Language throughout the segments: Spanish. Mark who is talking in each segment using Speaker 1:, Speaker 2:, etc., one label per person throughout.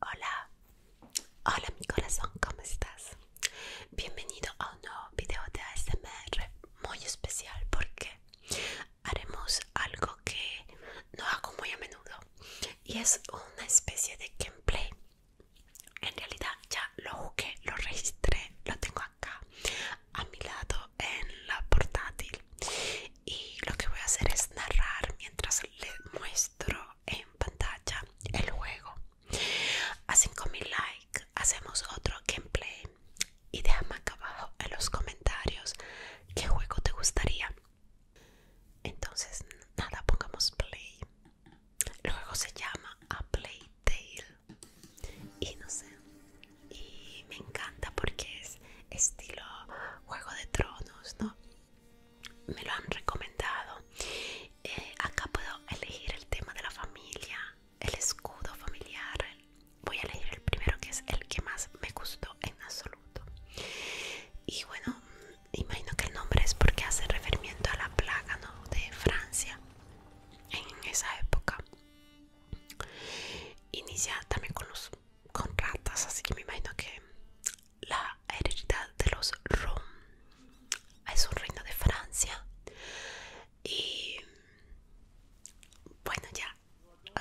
Speaker 1: Hola, hola mi corazón, ¿cómo estás? Bienvenido a un nuevo video de ASMR muy especial porque haremos algo que no hago muy a menudo y es una especie de gameplay. En realidad ya lo jugué, lo registré, lo tengo acá a mi lado en la portátil y lo que voy a hacer es narrar mientras les muestro en pantalla el juego. A 5000 likes hacemos otro gameplay y déjame acá abajo en los comentarios qué juego te gustaría. Entonces, nada, pongamos play. El juego se llama A Play Tale y no sé, y me encanta porque es estilo Juego de Tronos, ¿no? me lo han recomendado. Eh, acá puedo elegir el tema de la familia, el escudo familiar. Voy a leer el primero que es el que más me gustó en absoluto. Y bueno, imagino que el nombre es porque hace referimiento a la plaga ¿no? de Francia en esa época. Inicia también con los con ratas, así que me imagino que la heredidad de los Rom es un reino de Francia. Y bueno, ya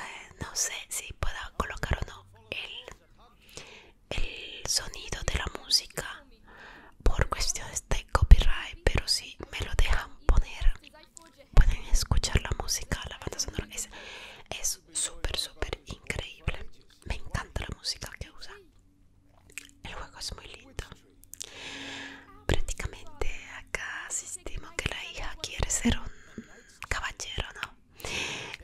Speaker 1: eh, no sé si pueda colocar o no el, el sonido de la música por cuestiones de copyright, pero si me lo dejan poner, pueden escuchar la música, la banda sonora. Es súper, súper increíble me encanta la música que usa. El juego es muy lindo. Prácticamente acá asistimos que la hija quiere ser un caballero, ¿no?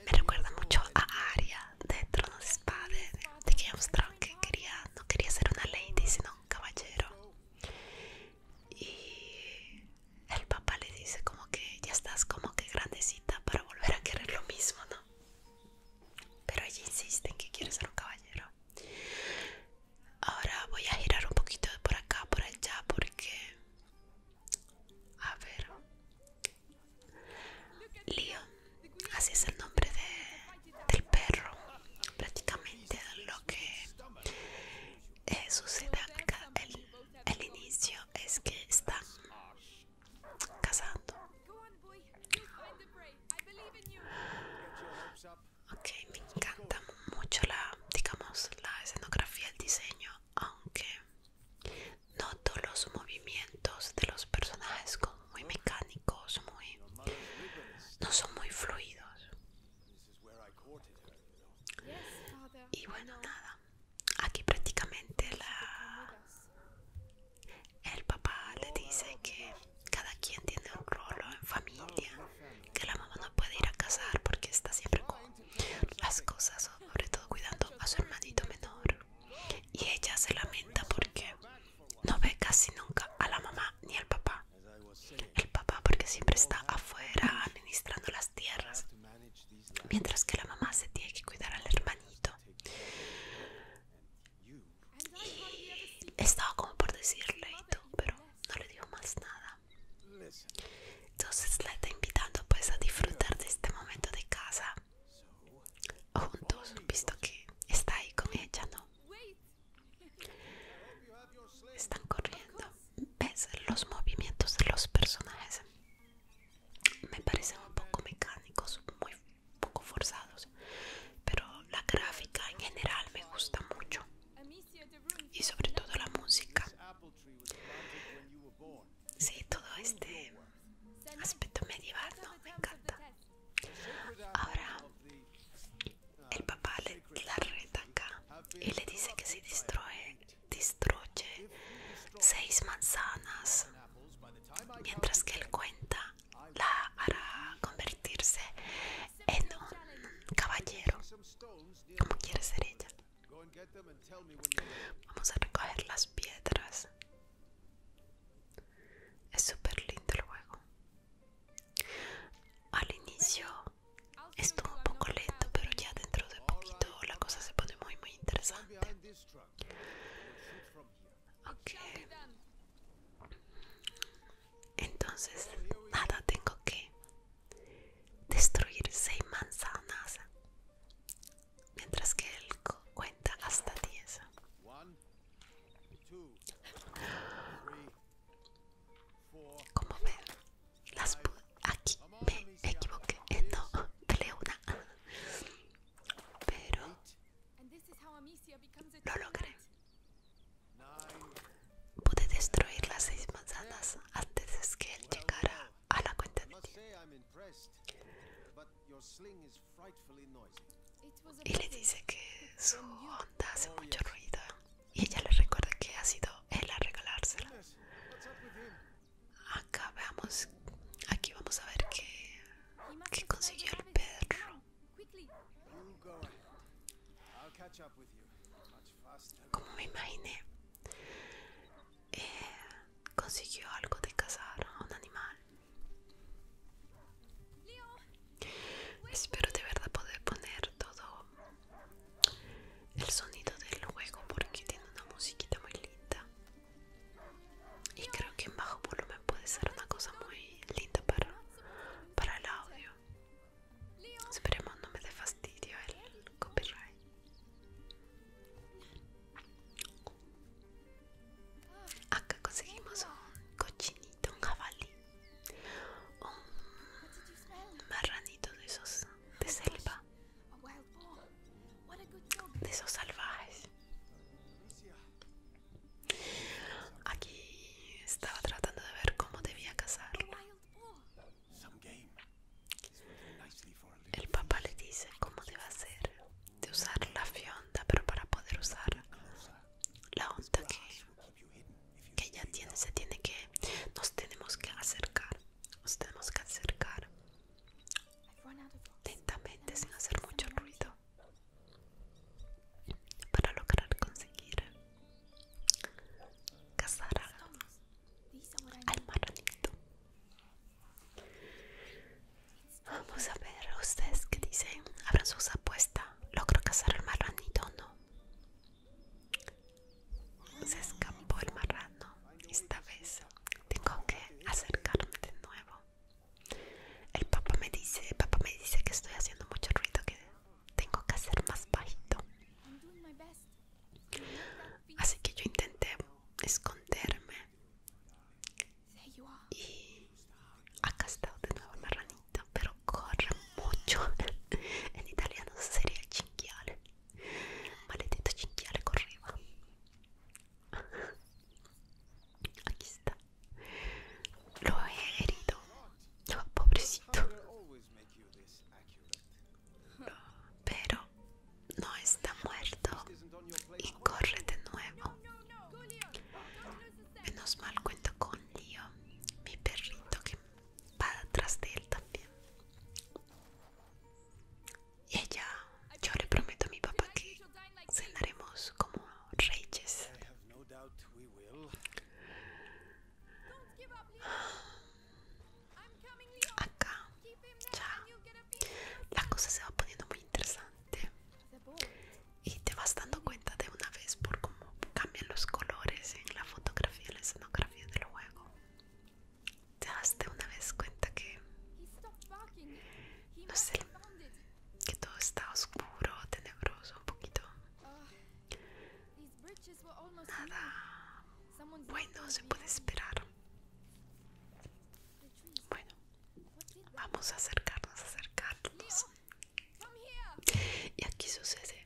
Speaker 1: Me recuerda mucho a Aria de Tronos Espada de que que quería, no quería ser una lady, sino un caballero. Y el papá le dice como que ya estás como que grandecito para volver a querer lo mismo, ¿no? Pero ella insiste en que quiere ser un caballero. Ahora voy a girar un poquito por acá, por allá, porque... A ver... Leo así es el nombre del perro, prácticamente lo que eh, sucede acá. El, inicio es que está casando. Ok, me encanta mucho la, digamos, la escenografía, el diseño, aunque noto los movimientos de los personajes como muy mecánicos, muy, no son muy fluidos. Y bueno, nada, aquí prácticamente el papá le dice que cada quien tiene un rol en familia, que la mamá no puede ir a casar porque está siempre con las cosas, sobre todo cuidando a su hermanito menor. Y ella se lamenta porque no ve casi nunca a la mamá ni al papá. El papá porque siempre está afuera administrando las tierras mientras que la mamá se tiene que cuidar al hermanito. Y estaba como por decirle pero no le dijo más nada. Entonces la está invitando pues a disfrutar de este momento de casa juntos, visto que está ahí con ella, ¿no? Están corriendo. ¿Ves los movimientos de los personajes? me parecen un poco mecánicos, muy poco forzados, pero la gráfica en general me gusta mucho y sobre todo la música. Sí, todo este aspecto medieval me encanta. Ahora el papá le, la reta acá y le dice que se destruye destruye seis manzanas, mientras que él cuenta la hará convertirse en un caballero, como quiere ser ella. Vamos a recoger las piedras. Es súper lindo el juego. Al inicio estuvo un poco lento, pero ya dentro de poquito la cosa se pone muy muy interesante. Ok. Entonces, nada, tengo que destruir seis manzanas. Mientras que él cuenta hasta 10. Como ven, las, aquí me equivoqué eh, no le una pero lo logré pude destruir las seis manzanas antes de que él llegara a la cuenta de ti y le dice que su onda hace mucho ruido y ella le recuerda que ha sido él a regalársela acá veamos aquí vamos a ver qué, consiguió el perro como me imaginé eh, consiguió algo de cazar a un animal espero de verdad poder poner todo el sonido del juego porque tiene una musiquita muy linda y creo que en bajo volumen puede ser una cosa muy linda para, para el audio esperemos no me de fastidio el copyright acá conseguimos un cochinito, un jabalí un marranito de esos de selva de esos salvajes. Aquí estaba tratando de ver cómo debía casarlo. El papá le dice cómo debe hacer de usar la fionda, pero para poder usar la onda que, que ella tiene, se tiene que, nos tenemos que acercar, nos tenemos que acercar lentamente sin hacer mucho ruido para lograr conseguir cazar al marranito. Vamos a ver ustedes que dicen, abran sus apuestas, logro cazar al marranito o no. Se escapó el marrano esta vez tengo que acercarme de nuevo. El papá me dice, papá me dice que estoy haciendo mucho ruido, que tengo que hacer más bajito. Así que yo intenté esconderme y acá está de nuevo la ranita pero corre mucho. en italiano sería chingale maletito Chinquear chinguear arriba. Aquí está. Lo he herido. lo pobrecito. pero no está muerto. Y corre de nuevo. Menos mal cuento con Leo, mi perrito que va tras de él también y Ella, yo le prometo a mi papá que cenaremos como reyes. Acá, ya, la cosa se va poniendo muy interesante y te vas dando cuenta de una vez por cómo cambian los colores en la fotografía, y la escenografía del juego. ¿Te una vez cuenta que, no sé, que todo está oscuro, tenebroso un poquito? Nada bueno se puede esperar. Bueno, vamos a acercarnos, acercarnos. Y aquí sucede,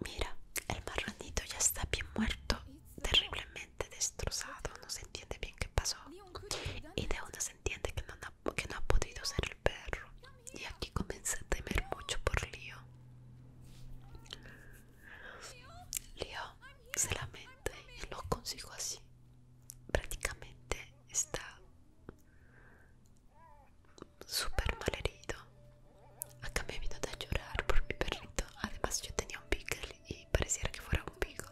Speaker 1: mira, el marronito ya está bien muerto, terriblemente destrozado, no se entiende bien qué pasó. Y de una se entiende que no, no ha podido ser el perro. Y aquí comencé a temer mucho por Leo. Leo se lamenta y lo consigo así. Prácticamente está súper mal herido. Acá me vino a llorar por mi perrito. Además yo tenía un pickle y pareciera que fuera un pico.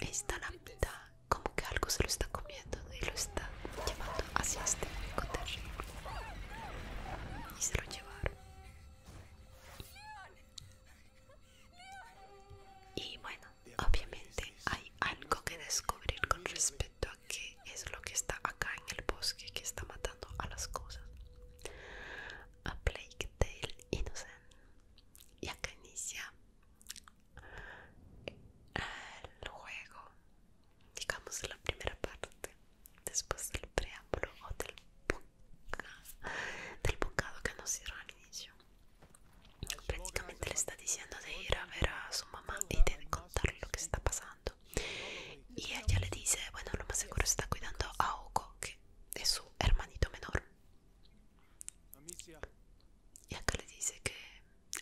Speaker 1: está la mitad como que algo se lo está comiendo y lo está llevando hacia este pico terrible. Y se lo llevaron. Y bueno, obviamente hay algo que descubrir con respecto a qué es lo que está acá en el bosque que está matando a las cosas. A Blake Tale Innocent y acá inicia el juego digamos la primera parte después del preámbulo o del del bocado que nos dieron al inicio prácticamente le está diciendo de ir a ver a su mamá y de contarle lo que está pasando y ella le dice bueno lo más seguro está cuidando a Hugo que de su hermanito menor. Y acá le dice que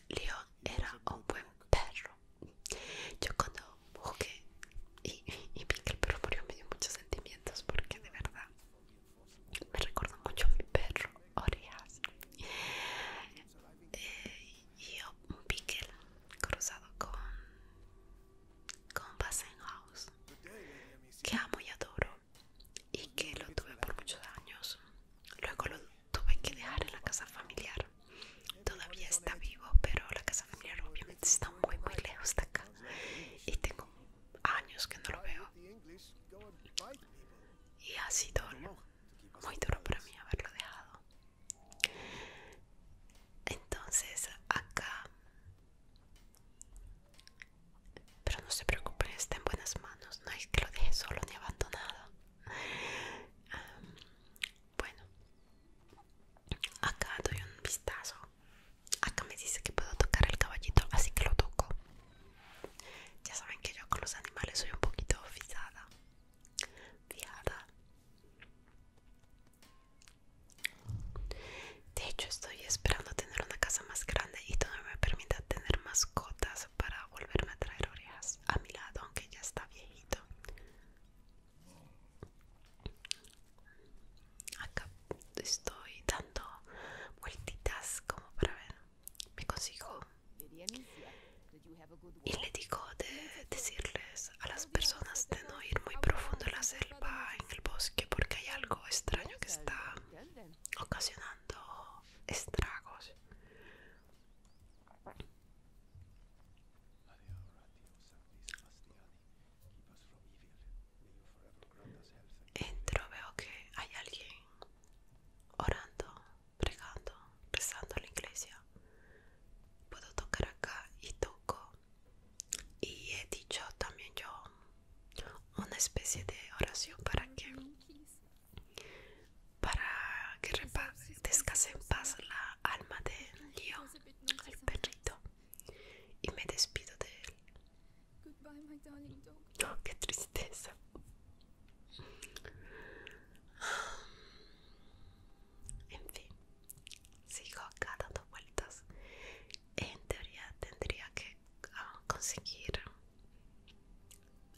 Speaker 1: Leo era un buen perro. Yo cuando busqué y, Pickle pero murió me dio muchos sentimientos porque de verdad me recuerda mucho a mi perro orias Eh, y un Pickle cruzado con, con House que amo y adoro y que lo tuve por muchos años. Luego lo tuve que dejar en la casa familiar. Todavía está vivo, pero la casa familiar obviamente está muy, muy lejos de acá. Y tengo años que no lo veo. Y ha sido muy duro para mí haberlo dejado. Entonces acá pero no se preocupen, está en buenas manos. No es que lo deje solo ni abandonado. bueno, acá doy un vistazo. Acá me dice que puedo tocar el caballito, así que lo toco. Ya saben que yo con los animales soy un poquito fijada. Fijada. De hecho, estoy esperando tener una casa más grande y donde me permita tener mascotas para volverme a traer orejas a mi lado, aunque ya está viejito. Acá estoy dando vueltitas como para ver. Me consigo y le digo de decirles a las personas de no ir muy profundo en la selva, en el bosque, porque hay algo extraño que está ocasionando estragos. Entro, veo que hay alguien orando, pregando, rezando en la iglesia. Puedo tocar acá y toco y he dicho también yo una especie de oración para que para que descanse en paz la alma de lío, el perrito, y me despido de él. Oh, qué tristeza. En fin, sigo acá dando vueltas. En teoría tendría que ah, conseguir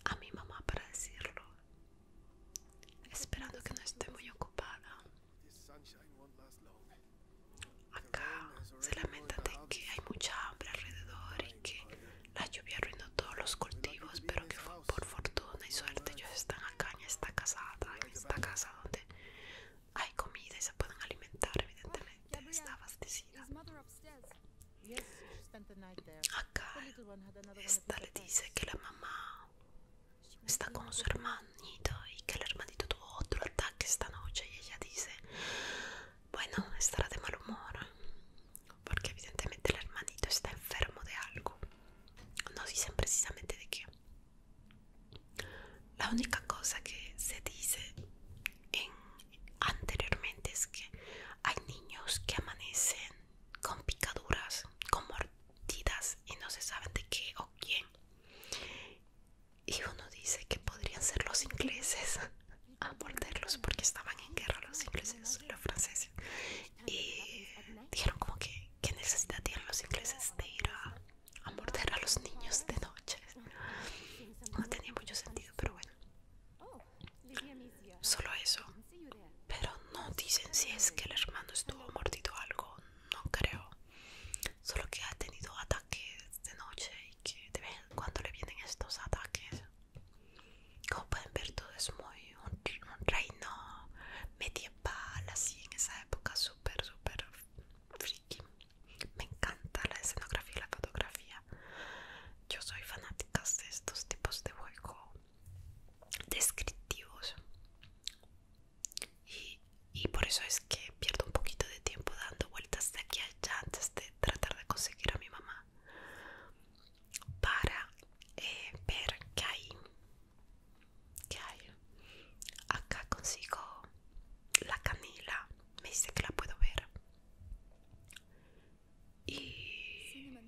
Speaker 1: a mi mamá para decirlo. Esperando que no esté muy ocupada. Acá se lamenta de que hay mucha hambre alrededor y que la lluvia arruinó todos los cultivos, pero que por fortuna y suerte ellos están acá en esta casada, en esta casa donde hay comida y se pueden alimentar, evidentemente, está abastecida. Acá esta le dice que la mamá está con su hermanito y que el hermanito tuvo otro ataque esta noche y ella dice, bueno, estará de mal humor, porque evidentemente el hermanito está enfermo de algo. No dicen precisamente de qué. La única cosa que se dice en, anteriormente es que hay niños que amanecen con picaduras, con mordidas y no se saben de qué o quién. Y uno dice que podrían ser los ingleses a morderlos porque estaban en guerra los ingleses los franceses. Y dijeron como que Que necesidad tienen los ingleses de ir a a morder a los niños de noche. No tenía mucho sentido, pero bueno. Solo eso. Pero no dicen si es que el hermano estuvo mordido algo, no creo. Solo que ha tenido ataques de noche y que cuando le vienen estos ataques. Como pueden ver, todo es muy un, un reino medieval, así en esa época, súper, súper me encanta la escenografía y la fotografía. Yo soy fanática de estos tipos de juego descriptivos. Y, por eso es que pierdo un poquito de tiempo dando vueltas de aquí a allá antes de tratar de conseguir a mi mamá para eh, ver que hay ¿Qué hay? Acá consigo la canela. Me dice que la puedo ver. Y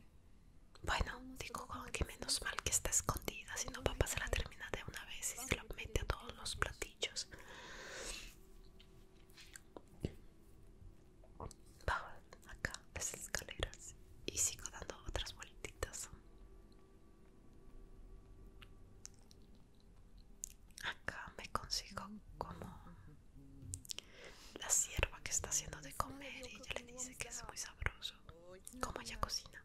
Speaker 1: bueno, digo que menos mal que está escondida, si no papá se la termina de una vez y se la mete a todos los platillos. Bajo acá las escaleras y sigo dando otras vueltitas. Acá me consigo como la sierva que está haciendo de comer y ella le dice que es muy sabroso. Como ella cocina.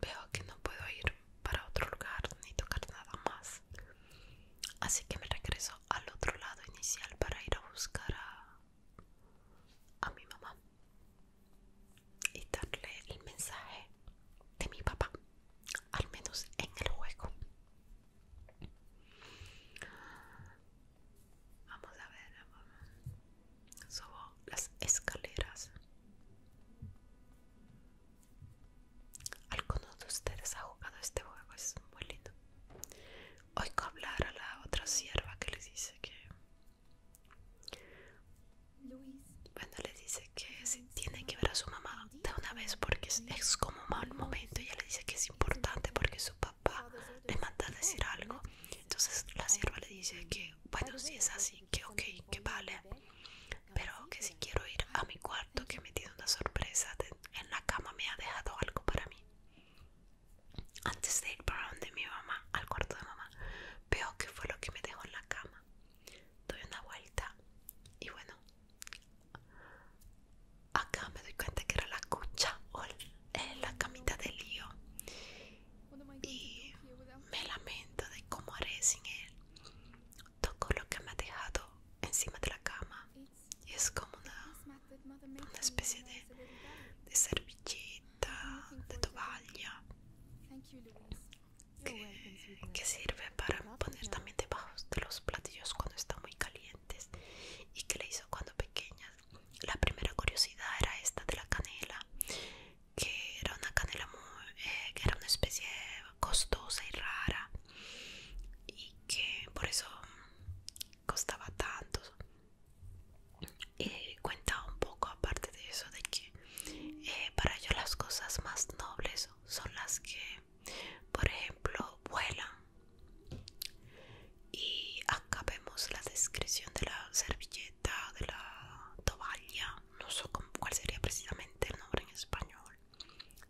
Speaker 1: Veo que no puedo ir para otro lugar ni tocar nada más. Así que me regreso al otro lado inicial para ir a buscar a, a mi mamá y darle el mensaje de mi papá, al menos en el juego. Vamos a ver, subo las escaleras. Algunos de ustedes ha jugado este juego, es muy lindo. Oigo hablar a la otra sierva que le dice que. Bueno, le dice que tiene que ver a su mamá de una vez porque es, como mal momento. Ella le dice que es importante porque su papá le manda a decir algo. Entonces la sierva le dice que, bueno, si es así, que ok, que vale. Pero que si quiero ir a mi cuarto lo que me dio una sorpresa. En la cama me ha dejado algo para mí. Antes de ir para donde mi mamá, al cuarto de mamá, veo que fue lo que me dejó en la cama. Doy una vuelta y bueno, acá me doy cuenta que era la cucha o eh, la camita de lío. Y me lamento de cómo haré sin él. Toco lo que me ha dejado encima de la cama es como una, especie de, de servilleta, de tovalla que, sirve para poner también debajo de los platillos cuando están muy calientes y que le hizo cuando pequeña. La primera curiosidad era esta de la canela, que era una canela eh, que era una especie costosa y rara y que por eso costaba tanto y cuenta un poco aparte de eso de que eh, para ellos las cosas más nobles son las que por ejemplo vuelan y acá vemos la descripción de la servilleta de la toalla no sé cuál sería precisamente el nombre en español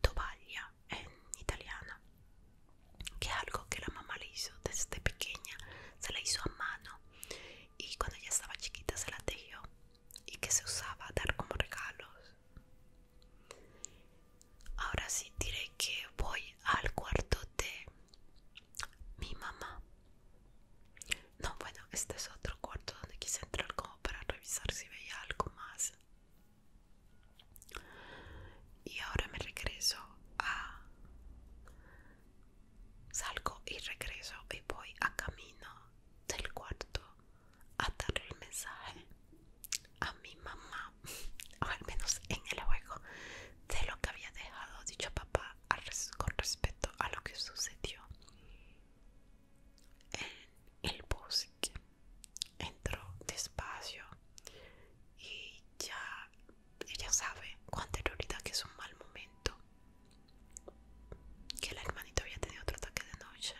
Speaker 1: toalla en italiano, que es algo que la mamá le hizo desde pequeña, se la hizo a mano y cuando ella estaba chiquita se la tejió y que se usaba a dar como regalos. Ahora sí diré que voy al cuarto de mi mamá. No, bueno, este es otro cuarto donde quise entrar como para revisar si veía algo más. Y ahora me regreso a... Salgo y regreso y voy a camino del cuarto a darle el mensaje a mi mamá, o al menos en el juego, de lo que había dejado dicho papá con respecto a lo que sucedió en el bus que entró despacio y ya ella sabe con anterioridad que es un mal momento que la hermanita había tenido otro ataque de noche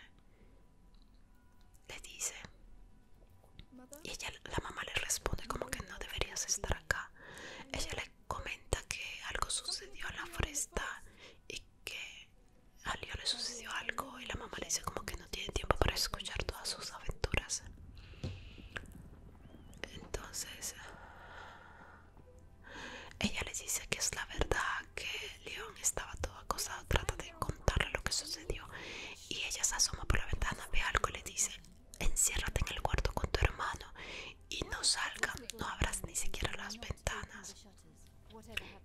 Speaker 1: le dice y ella la mamá le responde como que no deberías estar acá ella le comenta que algo sucedió en la foresta y que a le sucedió algo y la mamá le dice como que no tiene tiempo para escuchar todas sus aventuras. Entonces ella le dice que es la verdad, que León estaba todo acosado, trata de contarle lo que sucedió y ella se asoma por la ventana, ve algo le dice, enciérrate en el cuarto con tu hermano y no salga no abras ni siquiera las ventanas.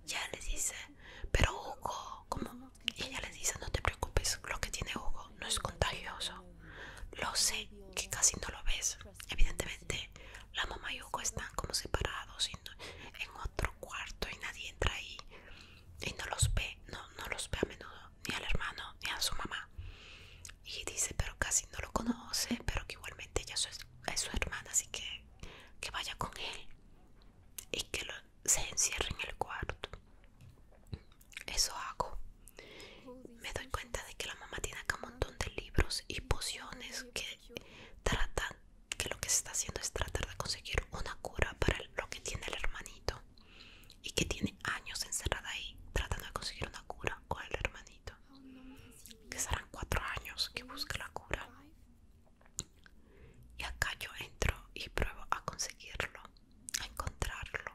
Speaker 1: Ya les dice, pero Hugo, como ella les dice, no te preocupes, lo que tiene Hugo no es contagioso. Lo sé, que casi no lo ves. Evidentemente, la mamá y Hugo están como separados en otro cuarto y nadie entra ahí. Y no los ve, no, los ve a menudo, ni al hermano, ni a su mamá. Y dice, pero casi no lo conoce, pero que igualmente ella es, es su hermana, así que que vaya con él y que lo, se encierra en el cuarto. Eso hago. Me doy cuenta de que la mamá tiene acá un montón de libros y pociones que tratan, que lo que se está haciendo es tratar de conseguir una cura para lo que tiene el hermanito y que tiene años encerrada ahí tratando de conseguir una cura con el hermanito. Que serán cuatro años que busca la cura. Y acá yo entro y pruebo a conseguirlo, a encontrarlo.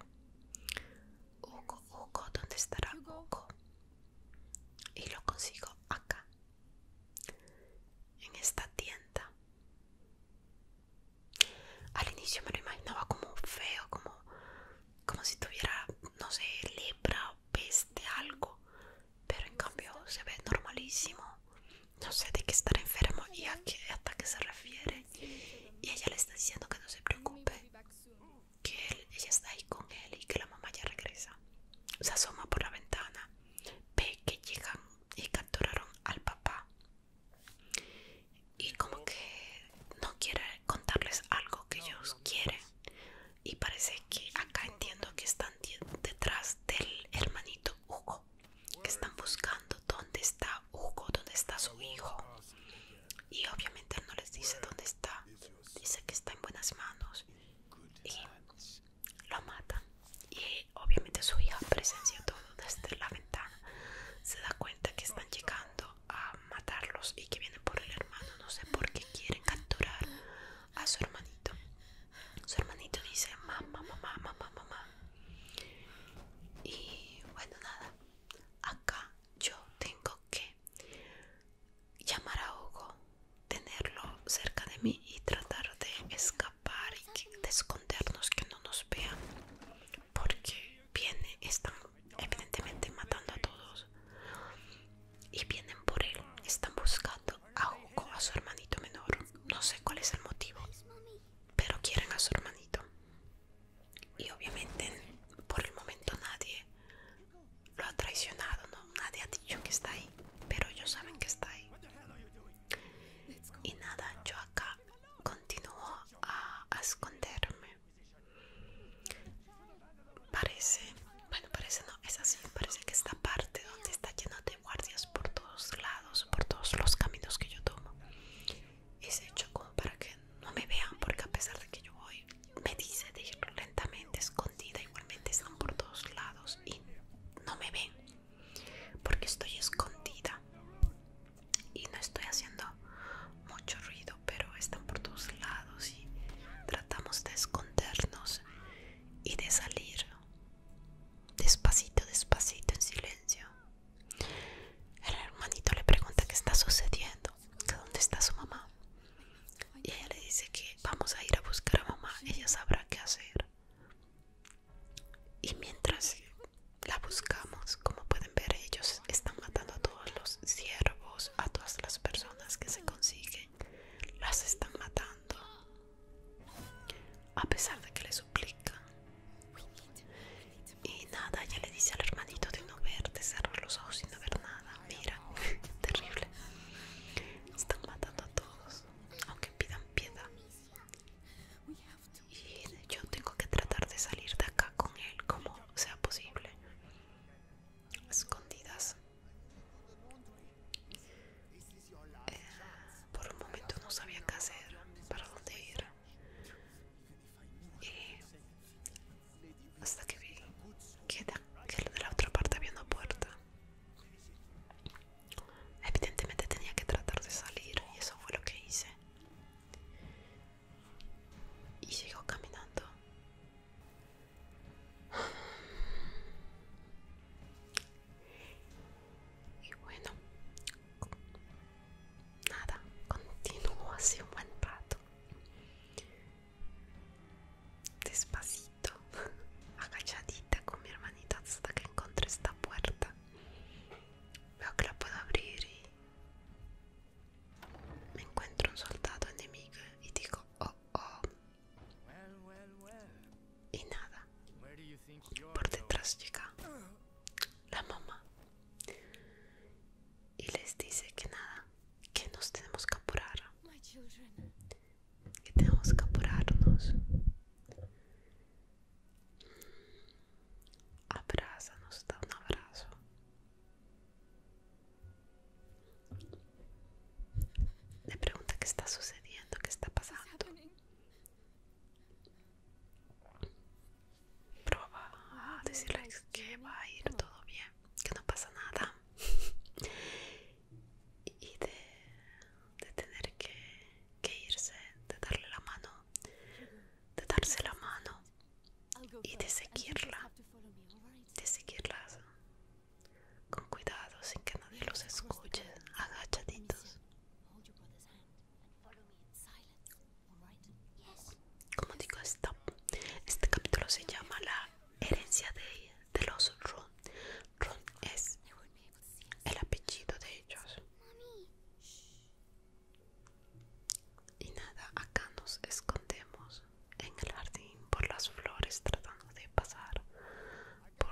Speaker 1: Hugo, Hugo, ¿dónde estará Hugo? Y lo consigo acá, en esta tienda. Al inicio me lo imaginaba como feo, como, como si tuviera, no sé, libra o peste, algo pero en cambio se ve normalísimo. No sé de qué estar enfermo y a qué se refiere. Y ella le está diciendo que no se preocupe, que ella está ahí con él y que la mamá ya regresa. Se asoma por la ventana, ve que llegan y capturaron al papá. Y como que no quiere contarles algo que ellos quieren. Y parece que acá entiendo que están detrás del hermanito Hugo que están buscando dónde está Hugo, dónde está su hijo. Y obviamente no les dice dónde está, dice que está en buenas manos y lo matan. Y obviamente su hija presencia todo desde la ventana, se da cuenta que están llegando a matarlos y que vienen por el hermano, no sé por qué quieren capturar a su hermanito. Su hermanito dice mamá, mamá, mamá, mamá. Y bueno, nada. Acá yo tengo que llamar a Hugo, tenerlo cerca de mí y tratar de escapar y de escondernos, que no nos vean. Porque viene, están evidentemente matando a todos. Y vienen por él, están buscando a su hermanito menor. No sé cuál es el motivo, pero quieren a su hermanito. Y obviamente por el momento nadie lo ha traicionado, ¿no? nadie ha dicho que está ahí, pero ellos saben que está ahí. Y nada, yo acá continúo a, esconderme. Parece, bueno, parece no, es así, parece que esta parte donde está lleno de guardias por lados, por todos los caminos que yo tomo. Es hecho como para que no me vean, porque a pesar de que yo voy, me dice de ir lentamente, escondida, igualmente están por todos lados y no me ven, porque estoy escondida y no estoy haciendo mucho ruido, pero están por todos lados y tratamos de escondernos y de salir Despacito, despacito, en silencio. El hermanito le pregunta qué está sucediendo, que dónde está su mamá. Y ella le dice que vamos a ir a buscar a mamá, ella sabrá qué hacer. Y mientras la buscamos, como pueden ver, ellos están matando a todos los ciervos, a todas las personas que se consiguen. Las están matando. A pesar de que le suplica Y nada, ella le dice al hermanito de no ver, de cerrar los ojos y no ver nada. Mira, terrible. Están matando a todos, aunque pidan piedad. Y yo tengo que tratar de salir de acá con él como sea posible. Escondidas. Eh, por un momento no sabía qué hacer, para dónde ir. Y hasta que vi que de, la otra parte había una puerta. Evidentemente tenía que tratar de salir y eso fue lo que hice. Y sigo caminando. Y bueno, nada, continúo hace un buen rato. Despacito, agachadita con mi hermanita hasta que encontré esta puerta. Veo que la puedo abrir y me encuentro un soldado enemigo y digo, oh, oh, y nada. Por detrás llega la mamá y les dice que nada, que nos tenemos que apurar, que tenemos que apurarnos. Abraza, nos da un abrazo. Le pregunta qué está sucediendo, qué está pasando. Proba a decirle que va a ir todo bien, que no pasa nada. y de, tener que, que irse, de darle la mano, de darse la mano y de seguirla, de seguirla con cuidado, sin que nadie los escuche, agachaditos. Como digo, stop. Este capítulo se llama La herencia de, los Ron. Ron es el apellido de ellos. Y nada, acá nos escondemos en el jardín por las flores tratando de pasar por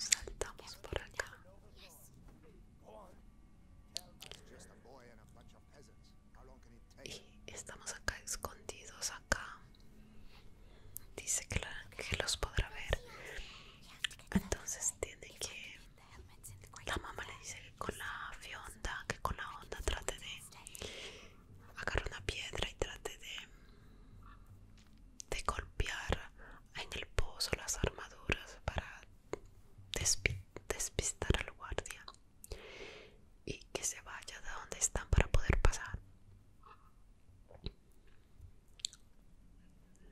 Speaker 1: saltamos por acá? Y estamos acá escondidos acá. Dice que, el ángel los podrá ver. Entonces tiene que... La mamá le dice que con la fionda, que con la onda trate de Agarro una piedra y trate de, de golpear en el pozo las armaduras para despistar al guardia y que se vaya de donde están para poder pasar.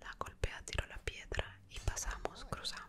Speaker 1: La golpea, tiro la piedra y pasamos, cruzamos.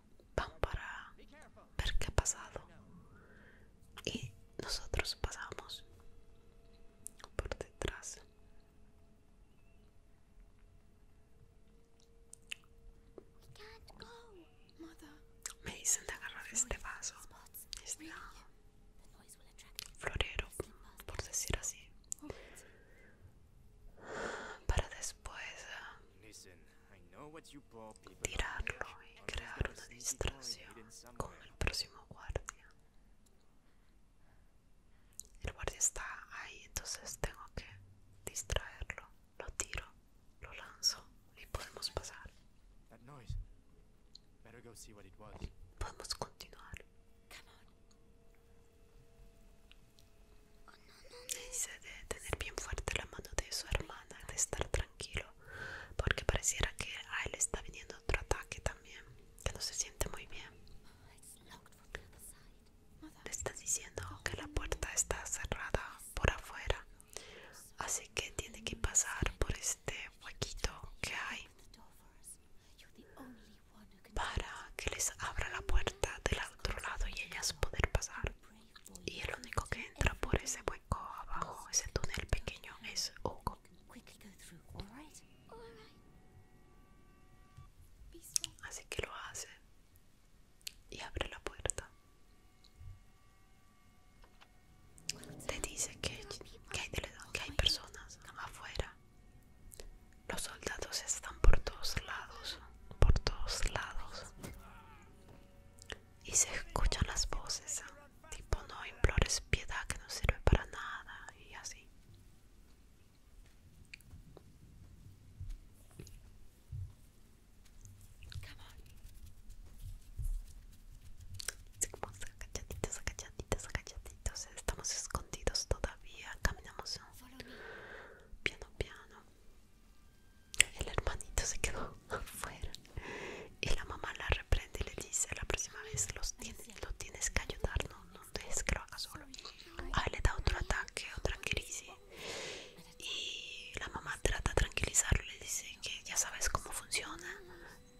Speaker 1: van para ver qué ha pasado y nosotros pasamos por detrás me dicen de agarrar este vaso este florero por decir así para después eh, Tirarlo y crear una distracción con el próximo guardia. El guardia está ahí, entonces tengo que distraerlo. Lo tiro, lo lanzo y podemos pasar. Podemos continuar. Dice de tener bien fuerte la mano de su hermana, de estar tranquilo, porque pareciera que a él está viniendo otro ataque también, que no se siente muy bien. Le está diciendo que la puerta está cerrada por afuera, así que tiene que pasar por este huequito que hay para que les abra la puerta del otro lado y ellas poder pasar y el único que entra por ese hueco abajo, ese túnel pequeño, es Hugo. Así que lo hace y abre la puerta. Te dice que, hay, que hay personas afuera. Los soldados están por todos lados, por todos lados y se escuchan las voces, ¿ah? tipo no implores piedad que no sirve para nada y así. Come agachaditos, Estamos escondidos todavía. Caminamos piano, piano. El hermanito se quedó afuera y la mamá la reprende y le dice la próxima vez tienes, lo tienes que ayudar, no, dejes que lo haga solo. Ah, le da otro ataque, otra crisis y la mamá trata de tranquilizarlo, le dice que ya sabes cómo funciona,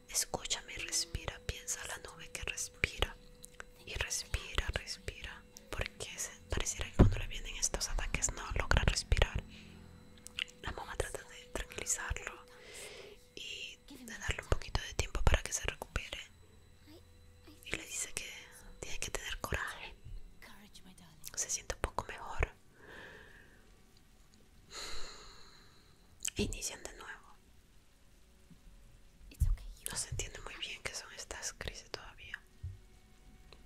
Speaker 1: escúchame, respira, piensa la nube que respira y respira, respira, porque se pareciera que cuando le vienen estos ataques no logra respirar. La mamá trata de tranquilizarlo y de darle un poquito de tiempo para que se recupere. Y le dice que tiene que tener coraje. Se siente un poco mejor. Inician de nuevo. No se entiende muy bien qué son estas crisis todavía.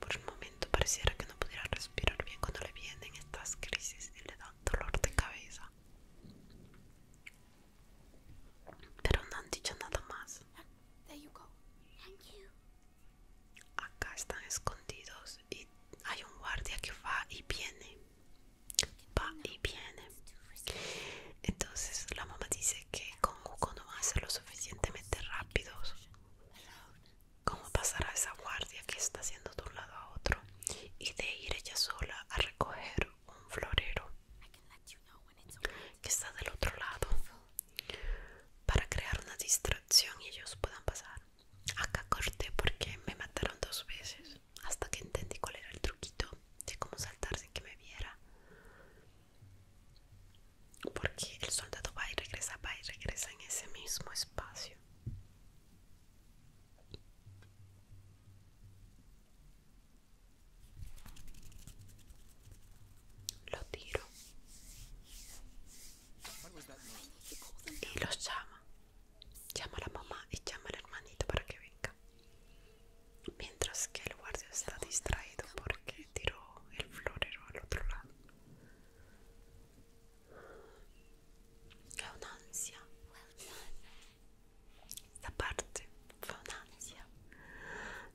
Speaker 1: Por un momento pareciera que no pudiera respirar bien cuando le vienen estas crisis y le dan dolor de cabeza. Pero no han dicho nada más. Acá están escondidos y hay un guardia que va y viene. Va y viene. Entonces la mamá dice que con Hugo no va a ser lo suficientemente rápido cómo pasar a esa guardia que está haciendo de un lado a otro y de ir ella sola a recoger un florero que está del otro lado para crear una distracción y ellos puedan pasar. Acá corté porque me mataron dos veces hasta que entendí cuál era el truquito de cómo saltar sin que me viera porque el soldado va y regresa, va y regresa en ese mismo espacio. Lo tiro y los llama. Llama a la mamá y llama al hermanito para que venga. Mientras que el guardia está distraído porque tiró el florero al otro lado. Fue una ansia. Esta parte fue una ansia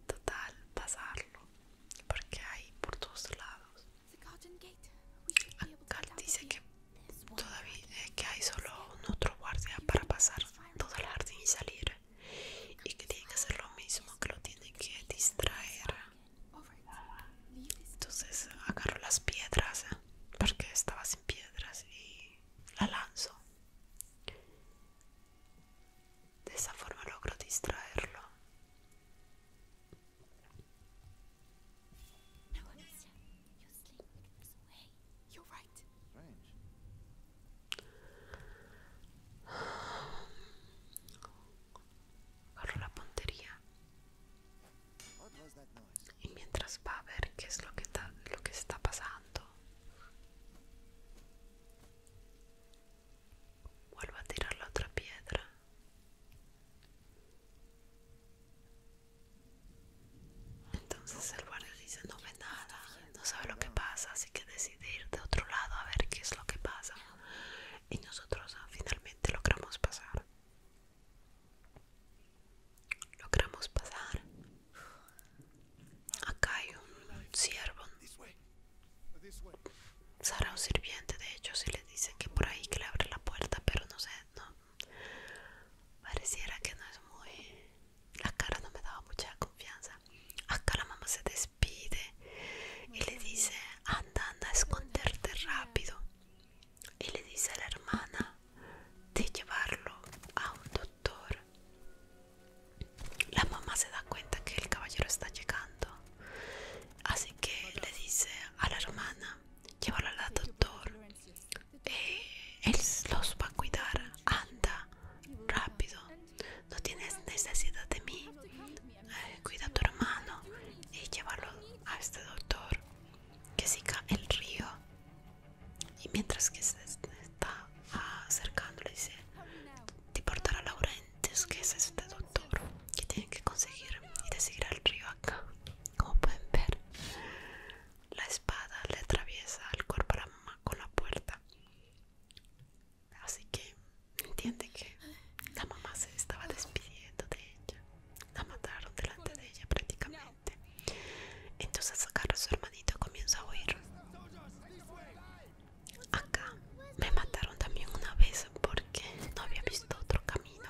Speaker 1: total pasarlo, porque hay por todos lados. Alcal dice que todavía eh, que hay solo un otro guardia para pasar todo el jardín y salir, y que tiene que hacer lo mismo, que lo tiene que distraer. Entonces agarro las piedras ¿eh? porque estaba sin piedras y la lanzo. De esa forma logro distraerlo agarro la puntería y mientras va a ver qué es lo que, lo que está pasando vuelvo a tirar la otra piedra entonces el guardia dice no ve nada no sabe lo que pasa así que decide ir de otro lado a ver qué es lo que pasa y nosotros ah, finalmente logramos pasar logramos pasar acá hay un siervo Será un sirviente de hecho si le dicen que por ahí que le abre la puerta pero no sé no pareciera que no es muy la cara no me daba mucha confianza acá la mamá se despide pide y le dice anda anda a esconderte rápido y le dice a la hermana de llevarlo a un doctor la mamá se da cuenta que el caballero está llegando así que le dice a la hermana llévalo al doctor eh, él los va a cuidar anda rápido no tienes necesidad de mí. Eh, cuida a tu hermano y llévalo a este doctor que siga el río. Y mientras que se está acercando, le dice: Te portará laurentes que es este doctor que tiene que conseguir y decidir al río acá. Como pueden ver, la espada le atraviesa el cuerpo a la mamá con la puerta. Así que entiende que la mamá se estaba despidiendo de ella. La mataron delante de ella prácticamente. Entonces agarra a su hermanito y comienza a huir. Acá me mataron también una vez porque no había visto otro camino.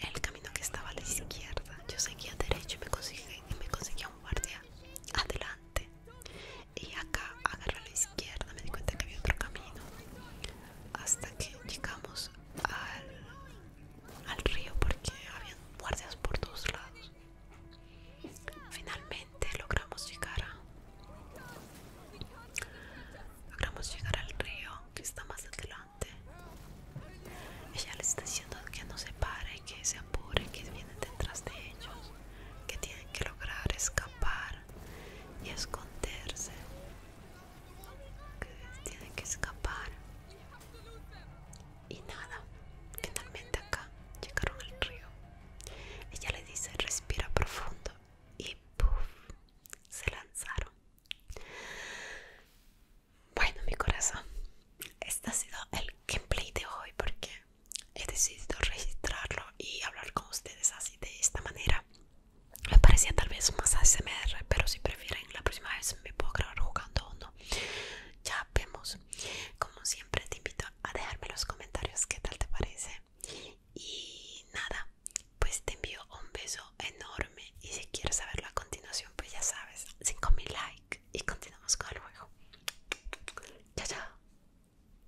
Speaker 1: El camino que estaba a la izquierda. Yo seguía derecho y me conseguía un guardia adelante y acá agarra a la izquierda me di cuenta que había otro camino hasta que llegamos al, río porque había guardias por todos lados finalmente logramos llegar a logramos llegar al río que está más adelante ella les está diciendo que no se pare que se apure que vienen detrás de ellos que tienen que lograr escapar y esconderse que tiene que escapar y nada finalmente acá llegaron al río ella le dice respira profundo y puff se lanzaron bueno mi corazón este ha sido el gameplay de hoy porque he decidido registrarlo y hablar con ustedes así de esta manera. Me parecía tal vez más ASMR, pero si prefieren, la próxima vez me puedo grabar jugando o no. Ya vemos. Como siempre, te invito a dejarme los comentarios qué tal te parece. Y nada, pues te envío un beso enorme. Y si quieres saberlo a continuación, pues ya sabes, 5000 likes y continuamos con el juego. Chao, chao.